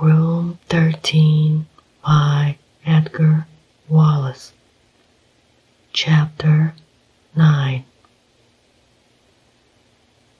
Room 13 by Edgar Wallace. Chapter 9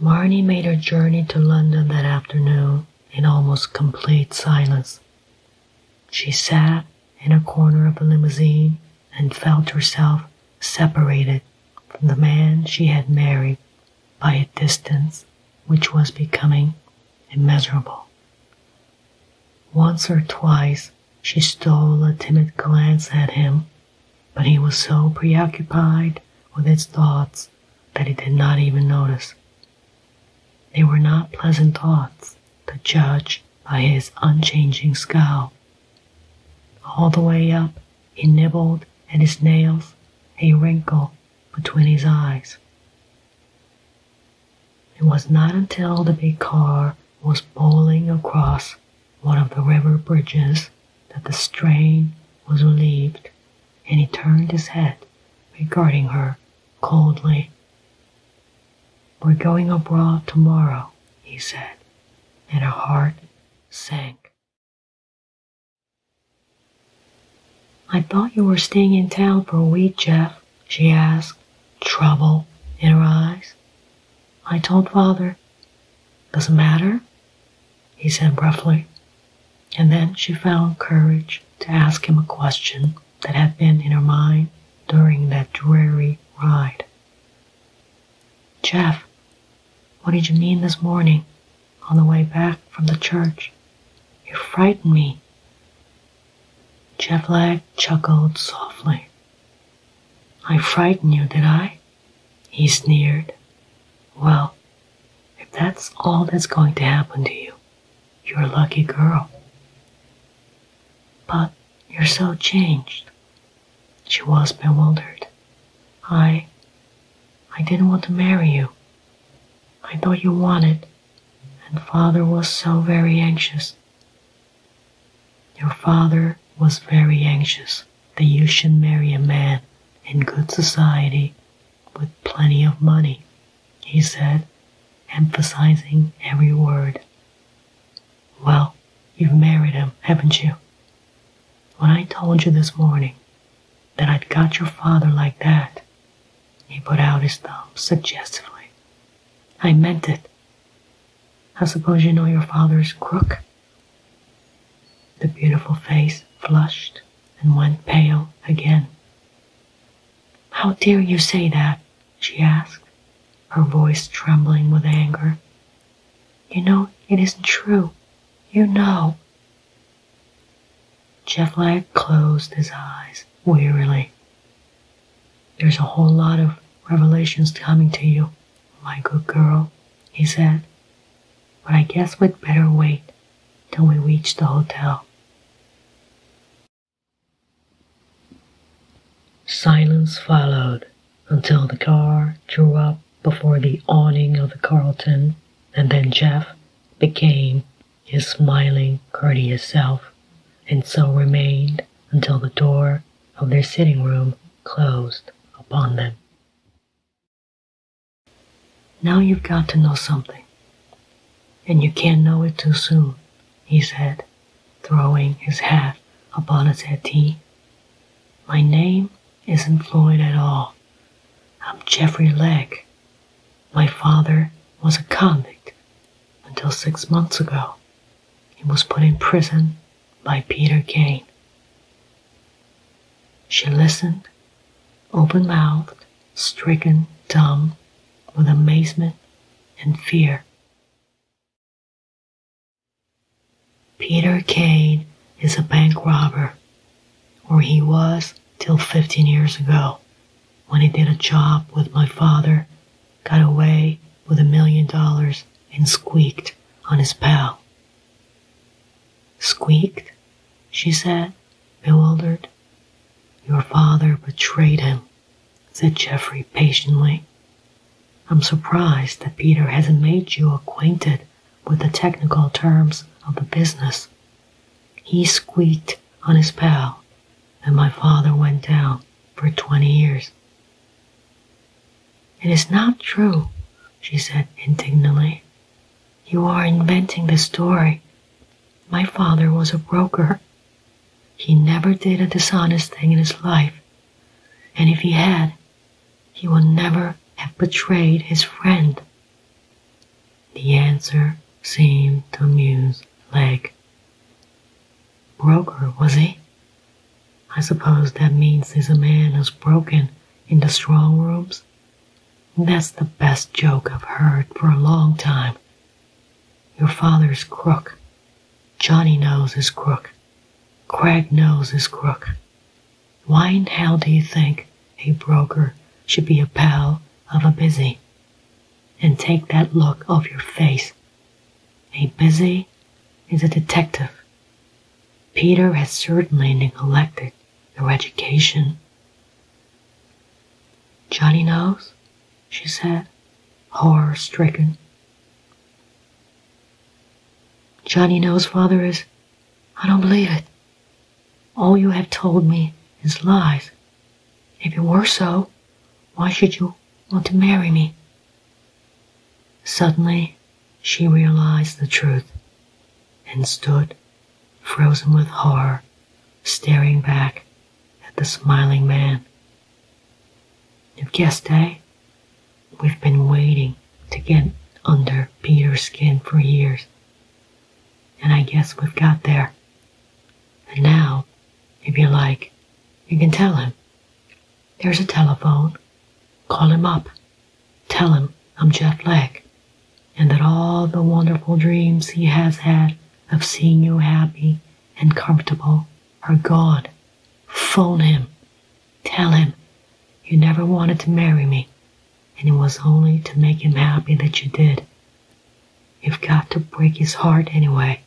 Marnie made her journey to London that afternoon in almost complete silence. She sat in a corner of the limousine and felt herself separated from the man she had married by a distance which was becoming immeasurable. Once or twice she stole a timid glance at him, but he was so preoccupied with his thoughts that he did not even notice. They were not pleasant thoughts to judge by his unchanging scowl. All the way up he nibbled at his nails, a wrinkle between his eyes. It was not until the big car was bowling across one of the river bridges that the strain was relieved, and he turned his head, regarding her coldly. We're going abroad tomorrow, he said, and her heart sank. I thought you were staying in town for a week, Jeff, she asked, trouble in her eyes. I told father. Doesn't matter, he said gruffly. And then she found courage to ask him a question that had been in her mind during that dreary ride. Jeff, what did you mean this morning on the way back from the church? You frightened me. Chevlag chuckled softly. I frightened you, did I? He sneered. Well, if that's all that's going to happen to you, you're a lucky girl. But you're so changed. She was bewildered. I. I didn't want to marry you. I thought you wanted, and father was so very anxious. Your father was very anxious that you should marry a man in good society with plenty of money, he said, emphasizing every word. Well, you've married him, haven't you? When I told you this morning that I'd got your father like that, he put out his thumb suggestively. I meant it. I suppose you know your father's crook? The beautiful face flushed and went pale again. How dare you say that? she asked, her voice trembling with anger you know it isn't true. You know. Jetlag closed his eyes wearily. There's a whole lot of revelations coming to you, my good girl, he said. But I guess we'd better wait till we reach the hotel. Silence followed until the car drew up before the awning of the Carlton, and then Jeff became his smiling, courteous self, and so remained until the door of their sitting room closed upon them. Now you've got to know something, and you can't know it too soon, he said throwing his hat upon a settee. My name isn't Floyd at all. I'm Jeffrey Legg. My father was a convict until six months ago. He was put in prison by Peter Kane. She listened, open mouthed, stricken dumb with amazement and fear. Peter Kane is a bank robber, or he was till 15 years ago when he did a job with my father, got away with a million dollars, and squeaked on his pal. Squeaked? she said, bewildered. Your father betrayed him said Geoffrey patiently. I'm surprised that Peter hasn't made you acquainted with the technical terms of the business. He squeaked on his pal, and my father went down for 20 years. It is not true, she said indignantly. You are inventing the story. My father was a broker he never did a dishonest thing in his life, and if he had, he would never have betrayed his friend. The answer seemed to amuse Leg. Broker, was he? I suppose that means he's a man who's broken in the strong rooms. That's the best joke I've heard for a long time, your father's crook. Johnny knows is crook. Craig knows is crook. Why in hell do you think a broker should be a pal of a busy? And take that look off your face. A busy is a detective. Peter has certainly neglected your education. Johnny knows she said, horror stricken. Johnny knows father is. I don't believe it. All you have told me is lies. If it were so, why should you want to marry me? Suddenly, she realized the truth and stood frozen with horror staring back at the smiling man. You've guessed, eh? We've been waiting to get under Peter's skin for years. And I guess we've got there. And now, if you like, you can tell him. There's a telephone. Call him up. Tell him I'm Jeff Legg and that all the wonderful dreams he has had of seeing you happy and comfortable are gone. Phone him. Tell him you never wanted to marry me, and it was only to make him happy that you did. You've got to break his heart anyway.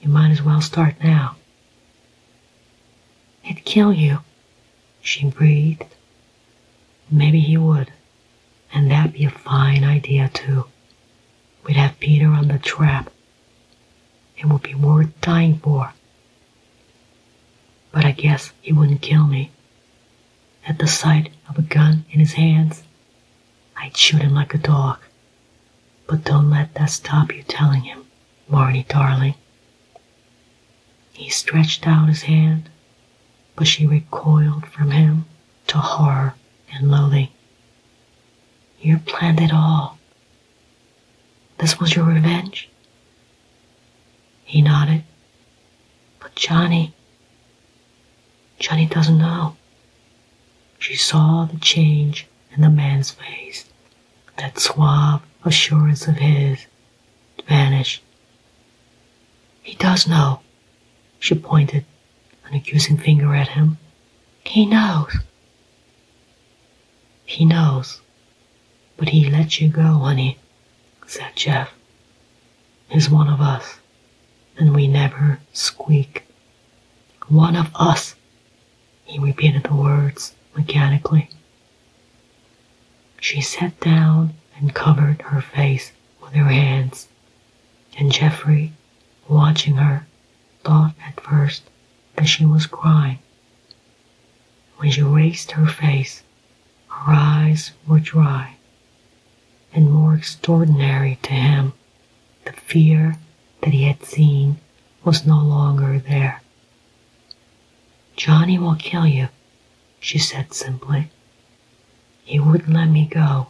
You might as well start now. It'd kill you, she breathed Maybe he would, and that'd be a fine idea too. We'd have Peter on the trap. It would be worth dying for. But I guess he wouldn't kill me. At the sight of a gun in his hands, I'd shoot him like a dog. But don't let that stop you telling him, Marnie, darling. He stretched out his hand but she recoiled from him to horror and loathing. You planned it all. This was your revenge? He nodded. But Johnny, Johnny doesn't know. She saw the change in the man's face, that suave assurance of his vanish. He does know. She pointed an accusing finger at him. He knows. He knows. But he let you go, honey, said Jeff. He's one of us, and we never squeak. One of us, he repeated the words mechanically. She sat down and covered her face with her hands, and Geoffrey, watching her, thought at first that she was crying. When she raised her face, her eyes were dry, and more extraordinary to him, the fear that he had seen was no longer there. Johnny will kill you, she said simply. He wouldn't let me go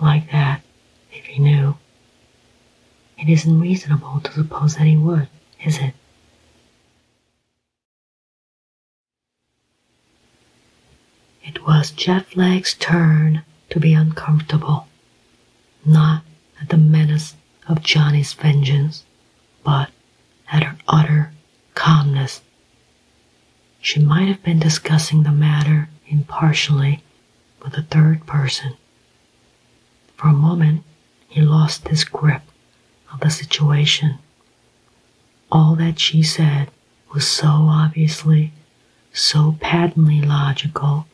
like that if he knew. It isn't reasonable to suppose that he would, is it? It was Jeff Lake's turn to be uncomfortable, not at the menace of Johnny's vengeance, but at her utter calmness. She might have been discussing the matter impartially with a third person. For a moment, he lost his grip of the situation. All that she said was so obviously, so patently logical,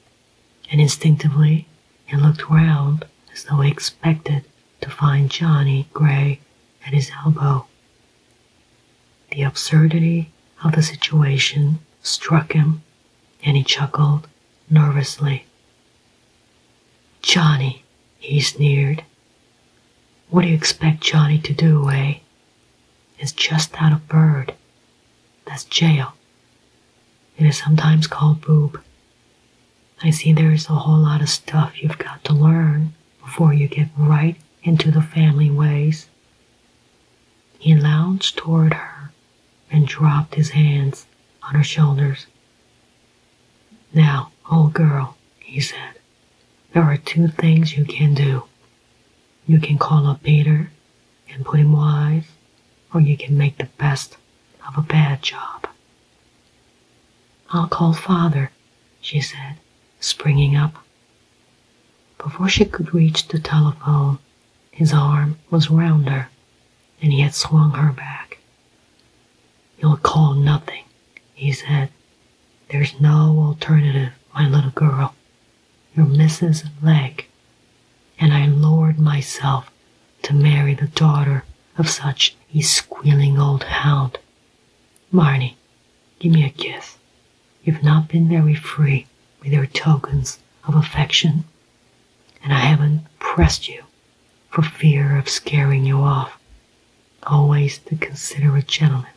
and instinctively he looked round as though he expected to find Johnny Gray at his elbow. The absurdity of the situation struck him, and he chuckled nervously. Johnny, he sneered. What do you expect Johnny to do, eh? He's just not a bird. That's jail. It is sometimes called boob. I see there is a whole lot of stuff you've got to learn before you get right into the family ways. He lounged toward her and dropped his hands on her shoulders. Now, old girl, he said, there are two things you can do. You can call up Peter and put him wise, or you can make the best of a bad job. I'll call father, she said, springing up. Before she could reach the telephone, his arm was round her, and he had swung her back. You'll call nothing, he said. There's no alternative, my little girl. Your missus leg and I lowered myself to marry the daughter of such a squealing old hound. Marnie, give me a kiss. You've not been very free with your tokens of affection, and I haven't pressed you for fear of scaring you off. Always the considerate gentleman.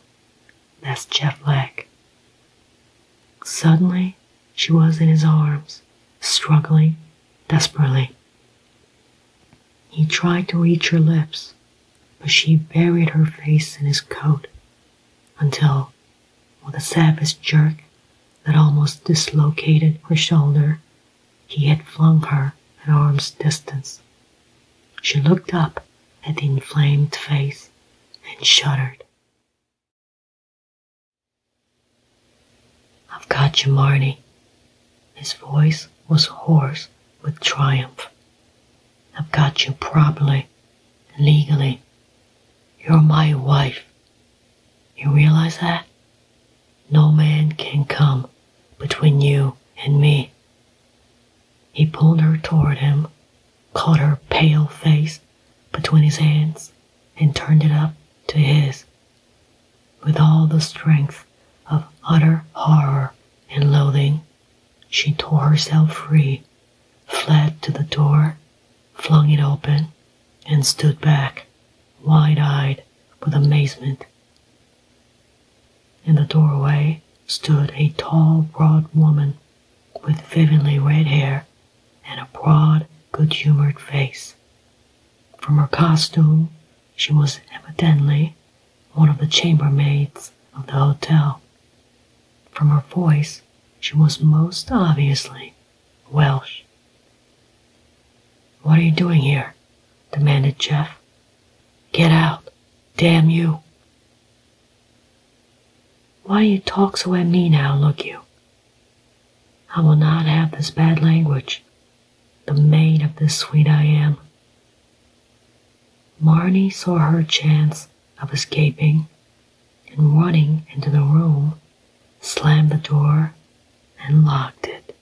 That's Jeff Black. Suddenly, she was in his arms, struggling desperately. He tried to reach her lips, but she buried her face in his coat until, with a savage jerk that almost dislocated her shoulder, he had flung her at arm's distance. She looked up at the inflamed face and shuddered. I've got you, Marnie. His voice was hoarse with triumph. I've got you properly, legally. You're my wife. You realize that? No man can come between you and me. He pulled her toward him, caught her pale face between his hands and turned it up to his with all the strength of utter horror and loathing. She tore herself free, fled to the door, flung it open, and stood back, wide eyed with amazement. In the doorway stood a tall, broad woman with vividly red hair and a broad, good humored face. From her costume, she was evidently one of the chambermaids of the hotel. From her voice, she was most obviously Welsh. What are you doing here? demanded Jeff. Get out, damn you. Why do you talk so at me now, look you? I will not have this bad language, the maid of this sweet I am. Marnie saw her chance of escaping and running into the room, slammed the door, and locked it.